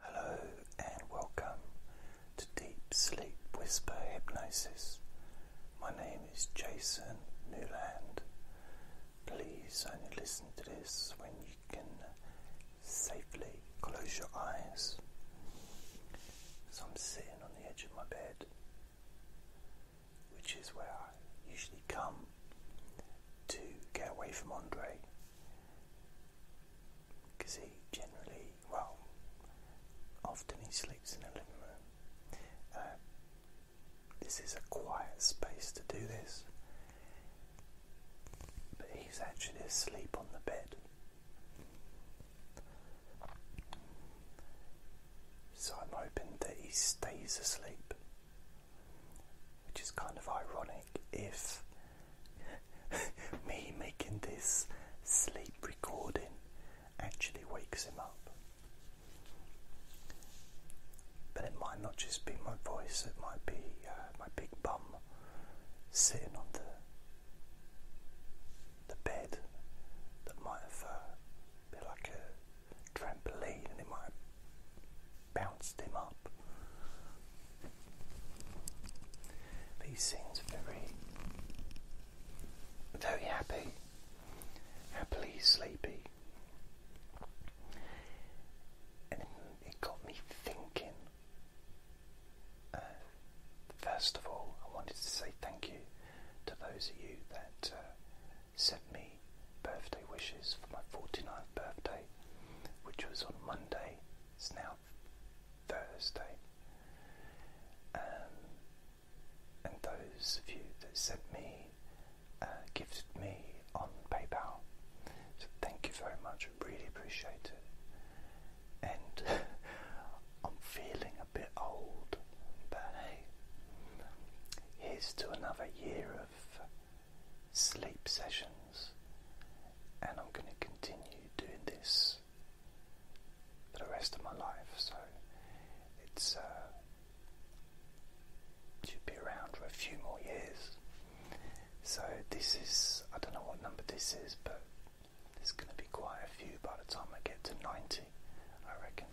Hello and welcome to Deep Sleep Whisper Hypnosis. My name is Jason Newland. Please only listen to this when you can safely close your eyes. So I'm sitting on the edge of my bed, which is where I usually come to get away from Andre because he generally, well, often he sleeps in a living room. Uh, this is a quiet space to do this, but he's actually asleep on the bed. So I'm hoping that he stays asleep, which is kind of ironic if me making this sleep recording actually wakes him up. But it might not just be my voice, it might be uh, my big bum sitting on the the bed that might have uh, been like a trampoline and it might have bounced him up. But he seems very, very happy, happily sleepy. And it got me thinking. Uh, first of all, I wanted to say thank you to those of you that uh, sent me birthday wishes for my 49th birthday, which was on Monday. It's now Thursday. Um, and those of you that sent me, uh, gifted me on PayPal. So thank you very much, I really appreciate it. And I'm feeling a bit old, but hey, here's to another year of sleep sessions and I'm going to continue doing this the rest of my life. So it's uh, should be around for a few more years. So this is I don't know what number this is, but there's going to be quite a few by the time I get to 90, I reckon.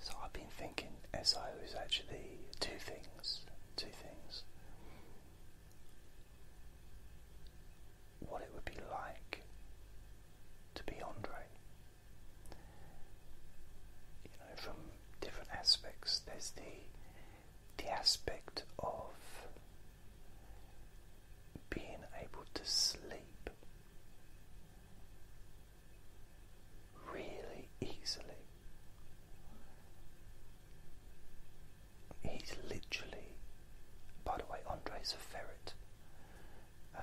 So I've been thinking SIO is actually two things things, two things. What it would be like to be Andre. You know, from different aspects, there's the the aspect of being able to sleep really easily. He's literally, by the way, Andre's a ferret. Um,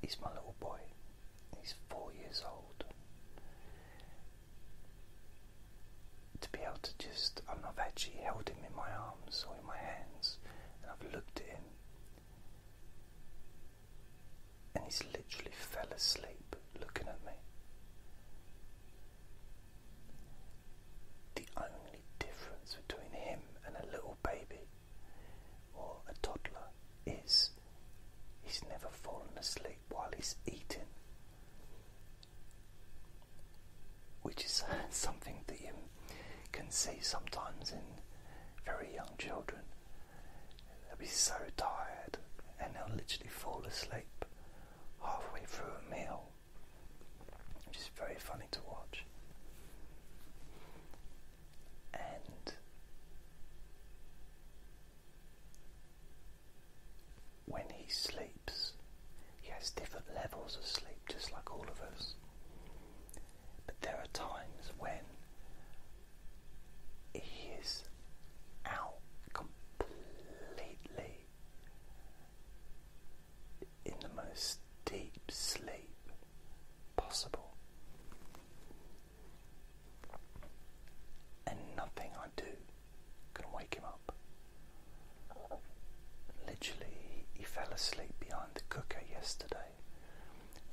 he's my little boy. He's four years old. To be able to just, I am not have actually held him in my arms or in my hands and I've looked at him and he's literally fell asleep looking at me. The only difference between him and a little baby or a toddler is he's never fallen asleep while he's eating. Which is something that you can see sometimes in very young children They'll be so tired and they'll literally fall asleep halfway through a meal, which is very funny to watch. And when he sleeps, he has different levels of sleep, just like all of us. But there are times when He's out completely in the most deep sleep possible. And nothing I do can wake him up. Literally, he fell asleep behind the cooker yesterday,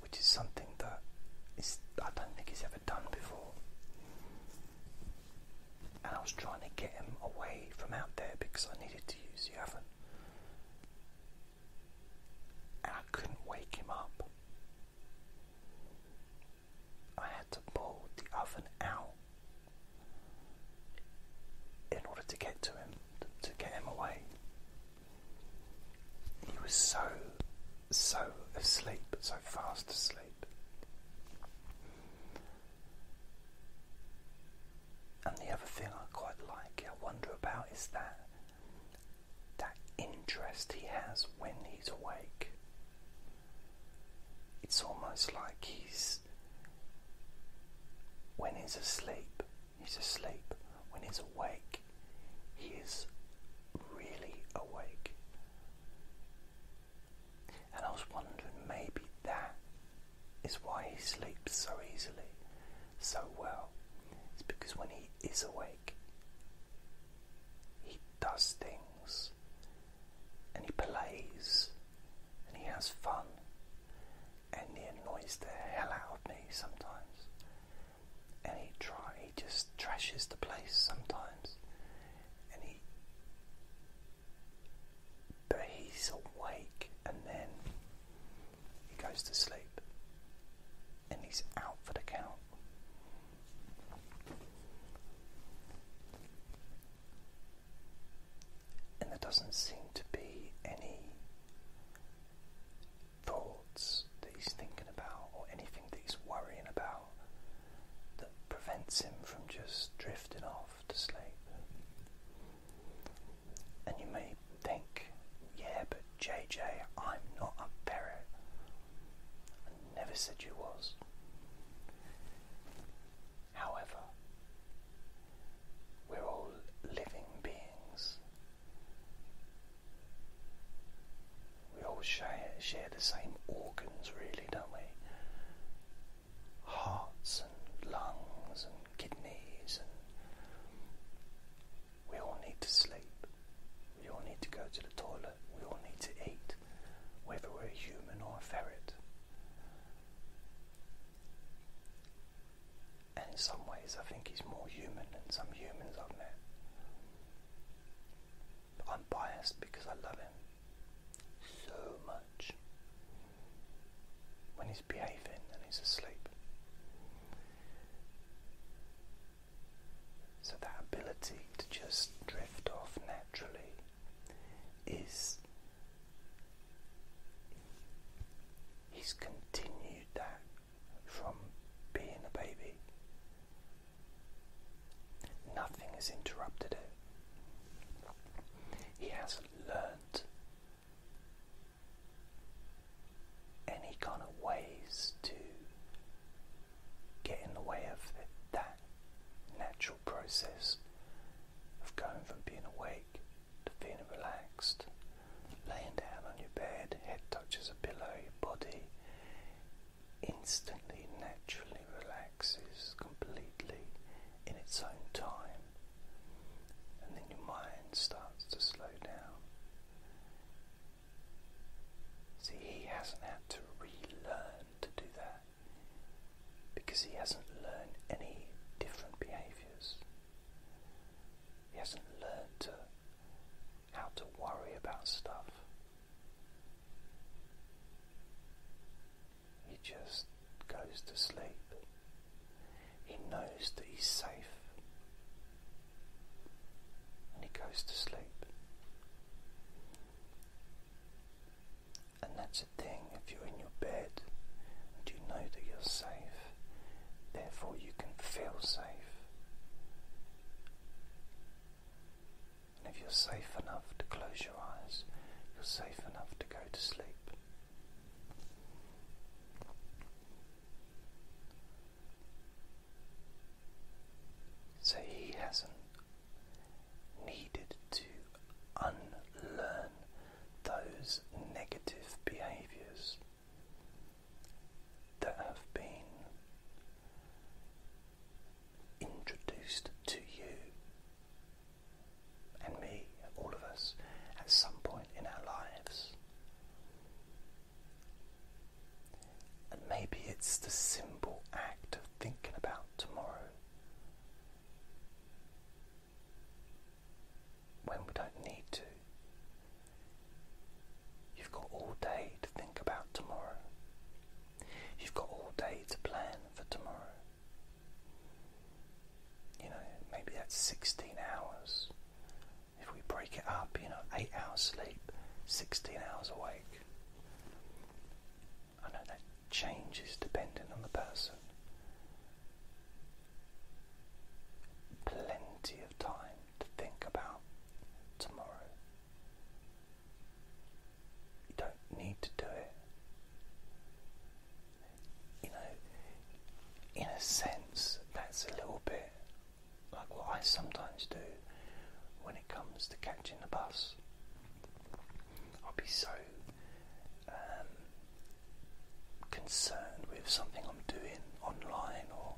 which is something that is, I don't think he's ever done before. And I was trying to get him away from out there because I needed to use the oven. And I couldn't wake him up. I had to pull the oven out in order to get to him, to get him away. He was so so asleep, so fast asleep. And the other thing I quite like, I wonder about, is that that interest he has when he's awake. It's almost like he's when he's asleep, he's asleep. When he's awake, he is really awake. And I was wondering maybe that is why he sleeps so easily, so well. It's because when he is awake, he does things and he plays and he has fun and he annoys the hell out of me sometimes and he try he just trashes the place sometimes, and he but he's awake, and then he goes to sleep, and he's out for the count. And there doesn't seem to be any, for that he's thinking about or anything that he's worrying about that prevents him from just drifting off to sleep. And you may think, yeah, but JJ, I'm not a parrot. I never said you was. However, we're all living beings. We all share, share the same organs, really, don't we? Hearts and lungs and kidneys, and we all need to sleep. We all need to go to the toilet. We all need to eat, whether we're a human or a ferret. And in some ways, I think he's more human than some humans I've met. I'm biased because I love him so much when he's behaving and he's asleep. So that ability to just drift off naturally is he's continued that from being a baby Nothing has interrupted it. He hasn't learnt any kind of ways to get in the way of that natural process of going from being awake to being relaxed, laying down on your bed, head touches a pillow, your body instantly, naturally relaxes completely in its own time, and then your mind starts to slow down. See, he hasn't had to relearn to do that because he hasn't learned any different behaviors. He hasn't learned to how to worry about stuff. He just goes to sleep. He knows that he's safe. And he goes to sleep. And that's a thing if you're in your bed and you know that you're safe, therefore you can feel safe. And if you're safe enough to close your eyes, you're safe enough to go to sleep. So he hasn't needed to unlearn those negative behaviours that have been introduced to you and me, all of us, at some point in our lives. And maybe it's the simple act of thinking about tomorrow when we don't need to. You've got all day to think about tomorrow. You've got all day to plan for tomorrow. You know, maybe that's 16 hours. If we break it up, you know, 8 hours sleep, 16 hours awake. I know that changes depending on the person. Plenty of time to think about tomorrow. You don't need to do it. You know, in a sense, that's a little bit like what I sometimes do when it comes to catching the bus. I'll be so um, concerned with something I'm doing online or,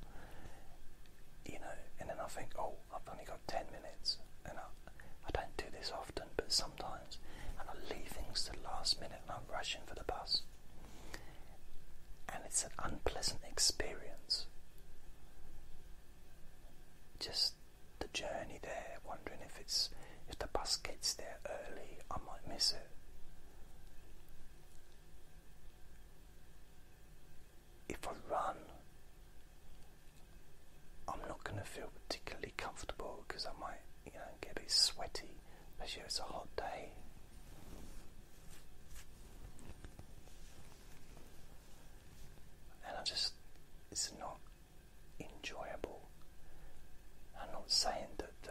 you know, and then I think, oh, I've only got 10 minutes, and I, don't do this often, but sometimes, and I leave things to the last minute and I'm rushing for the bus. And it's an unpleasant experience. Just the journey there, wondering if it's if the bus gets there early, I might miss it if I run, I'm not going to feel particularly comfortable because I might, you know, get a bit sweaty, especially if it's a hot day. And I just, it's not enjoyable. I'm not saying that the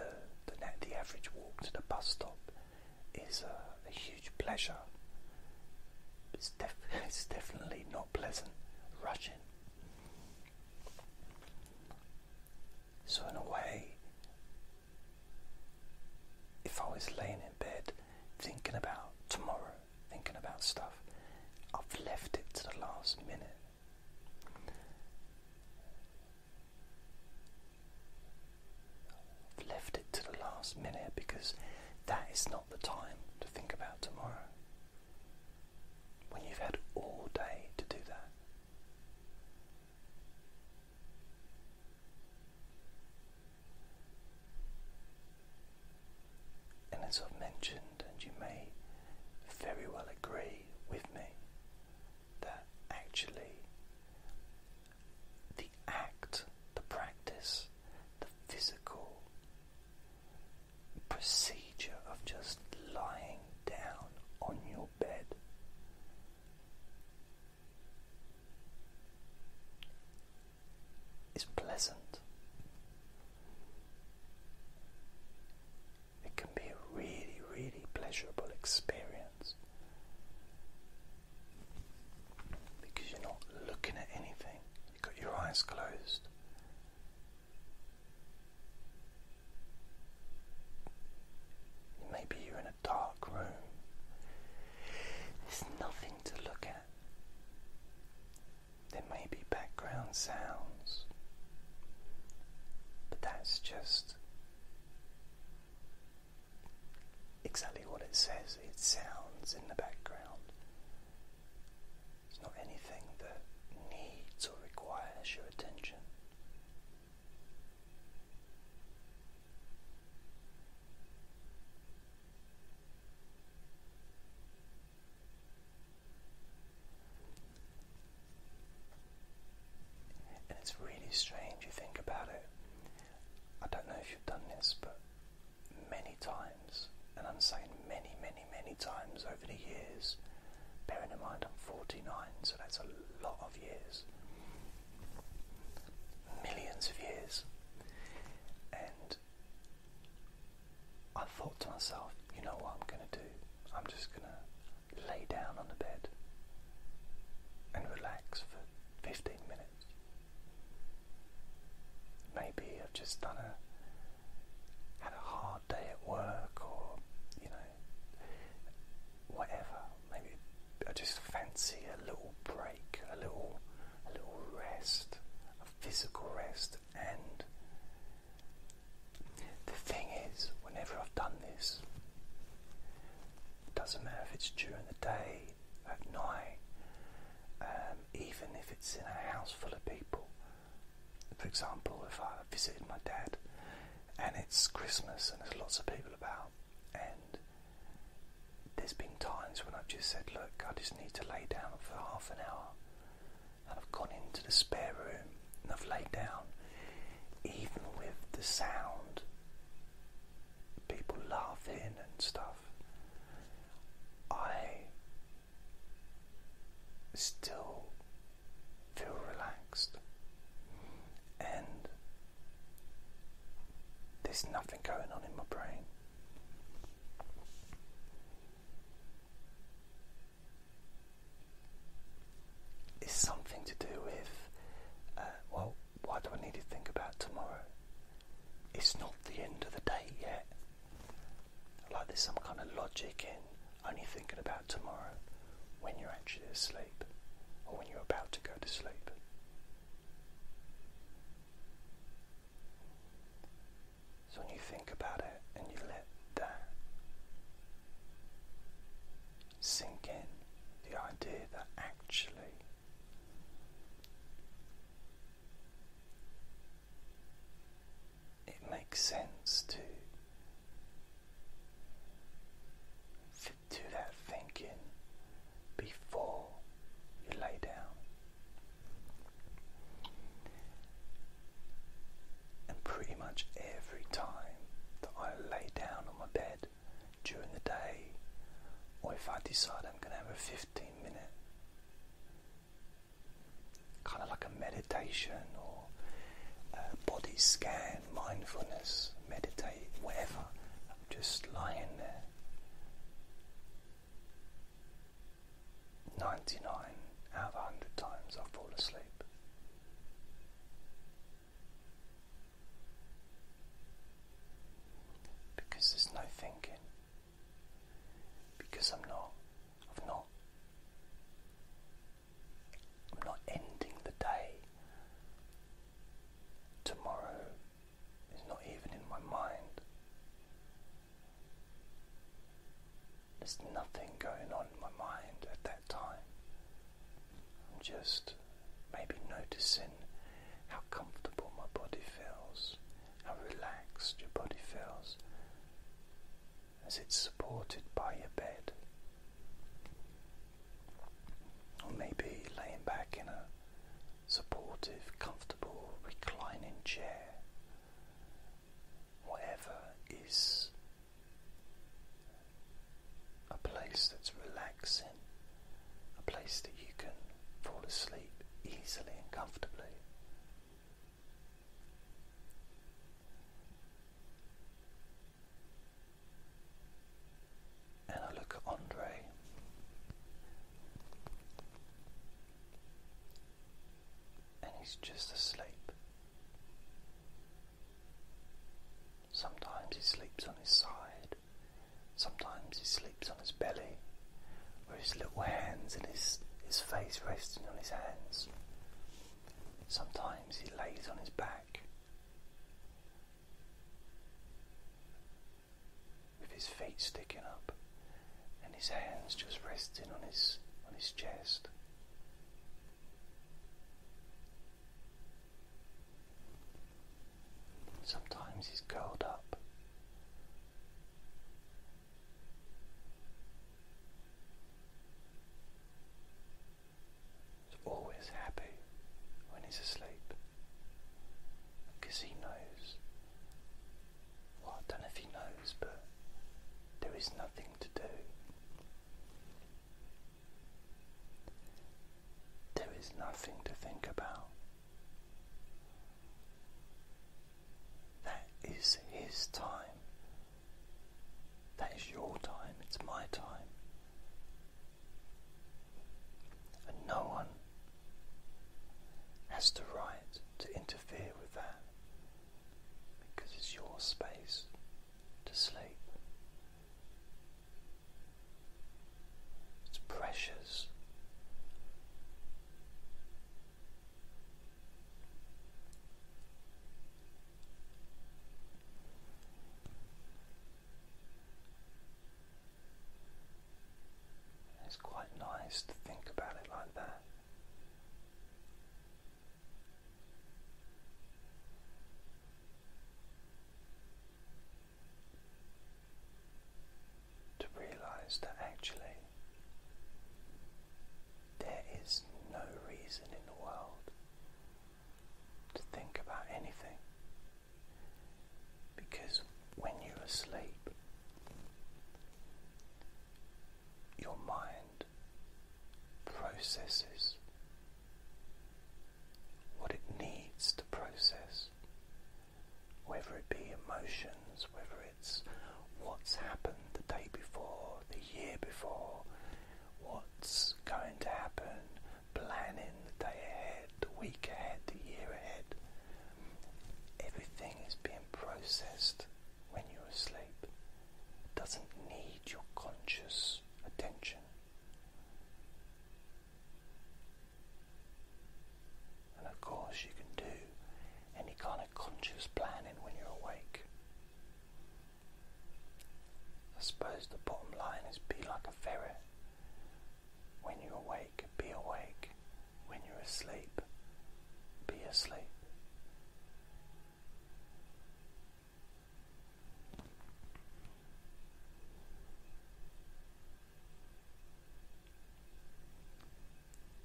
the, average walk to the bus stop is a, a huge pleasure. It's, definitely not pleasant rushing. So, in a way, if I was laying in bed thinking about tomorrow, thinking about stuff, I've left it to the last minute. I've left it to the last minute because that is not the time to think about tomorrow. When you've had all day to do that. And as I've mentioned, and you may very well agree with me, that actually the act, the practice, the physical procedure of just lying down on your bed. Is pleasant. It can be a really, really pleasurable experience because you're not looking at anything, got your eyes closed. Maybe you're in a dark room. There's nothing to look at. There may be background sounds, but that's just exactly what it says. It sounds in the background. It's not anything that needs or requires your attention. And it's really strange, you think about it. I don't know if you've done this, but many times, and I'm saying many, many, many times over the years. Bearing in mind I'm 49, so that's a lot of years. Millions of years. And I thought to myself, you know what I'm going to do? I'm just going to lay down on the bed and relax for 15 minutes. Maybe I've just done a had a hard day at work, or you know, whatever. Maybe I just fancy a little break, a little, a little rest, a physical rest. And the thing is, whenever I've done this, it doesn't matter if it's during the day at night, um, even if it's in a house full of people. For example, if I visited my dad and it's Christmas and there's lots of people about, and there's been times when I've just said, Look, I just need to lay down for half an hour, and I've gone into the spare room and I've laid down, even with the sound, people laughing and stuff. I still feel relaxed, and there's nothing going on in my brain. It's something to do with, uh, well, what do I need to think about tomorrow? it's not the end of the day yet. Like there's some kind of logic in only thinking about tomorrow when you're actually asleep or when you're about to go to sleep. So when you think about it and you let that sink in, the idea that actually it makes sense to do that thinking before you lay down and pretty much every time that I lay down on my bed during the day or if I decide I'm going to have a 15 minute kind of like a meditation or body scan, mindfulness, meditate, whatever. just lying there. 99 out of 100 times I fall asleep. Because there's no thinking because I'm not I've not I'm not ending the day. Tomorrow is not even in my mind. There's nothing going on in my mind at that time. I'm just maybe noticing how comfortable my body feels, how relaxed your body feels as it's supported by your bed. Or maybe laying back in a supportive, comfortable, reclining chair. Whatever is a place that's relaxing, a place that you can fall asleep easily and comfortably. And I look at Andre. And he's just asleep. Sometimes he sleeps on his side, sometimes he sleeps on his belly, with his little hands and his, his face resting on his hands. Sometimes he lays on his back with his feet sticking up and his hands just resting on his on his chest. Sometimes he's curled up He's always happy when he's asleep because he knows. Well, I don't know if he knows, but there is nothing to do. There is nothing to think about. That is his time. That is your time. It's my time. And no one has the right to interfere with that because it's your space to sleep. It's precious. It's quite nice to think about it like that to realize that actually there is no reason in the world to think about anything because when you're asleep, your mind processes what it needs to process whether it be emotions, whether it's what's happened the day before, the year before, what's going to happen, planning the day ahead, the week ahead, the year ahead. Everything is being processed when you're asleep. It doesn't need your conscious attention. And of course, you can do any kind conscious planning when you're awake. I suppose the bottom line is be like a ferret. When you're awake, be awake. When you're asleep, be asleep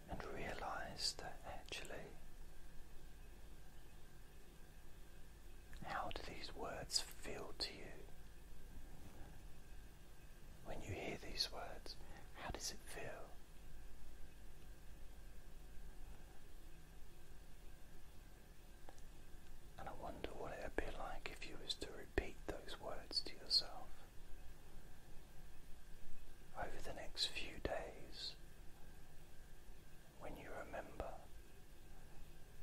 and realize that actually, how do these words feel to you? When you hear these words, how does it feel? And I wonder what it would be like if you was to repeat those words to yourself over the next few days when you remember.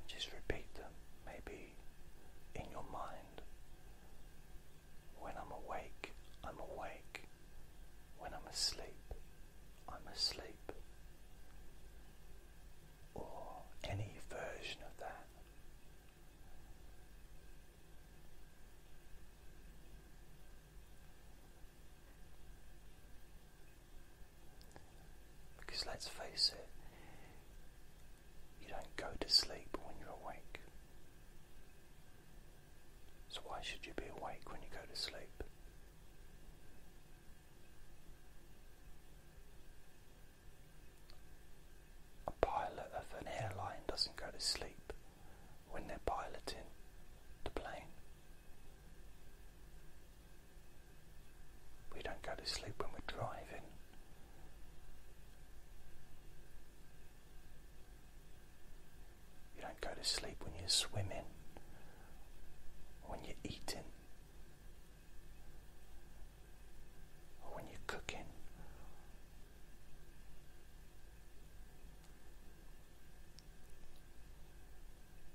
Just repeat them, maybe in your mind. When I'm awake, I'm awake. When I'm asleep, I'm asleep. Or any version of that. Because let's face it, you don't go to sleep when you're awake. So, why should you be awake when you go to sleep? A pilot of an airline doesn't go to sleep when they're piloting the plane. We don't go to sleep when we're driving. You don't go to sleep when you're swimming, when you're eating, or when you're cooking,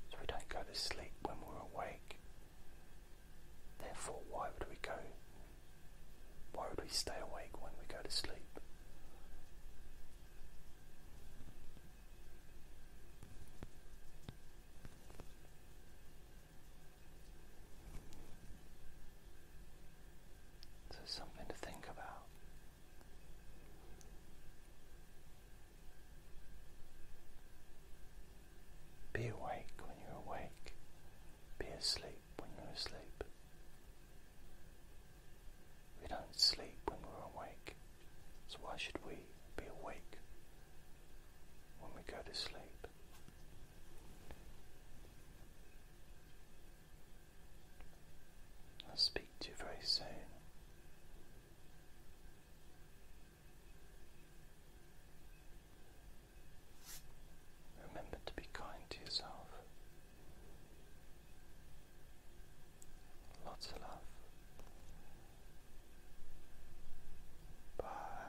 so we don't go to sleep when we're awake. Therefore, why would we go? Why would we stay awake when we go to sleep? So, something to think about. Be awake when you're awake, be asleep when you're asleep. We don't sleep when we're awake, so why should we be awake when we go to sleep? I'll speak to you very soon. Remember to be kind to yourself. Lots of love. Bye.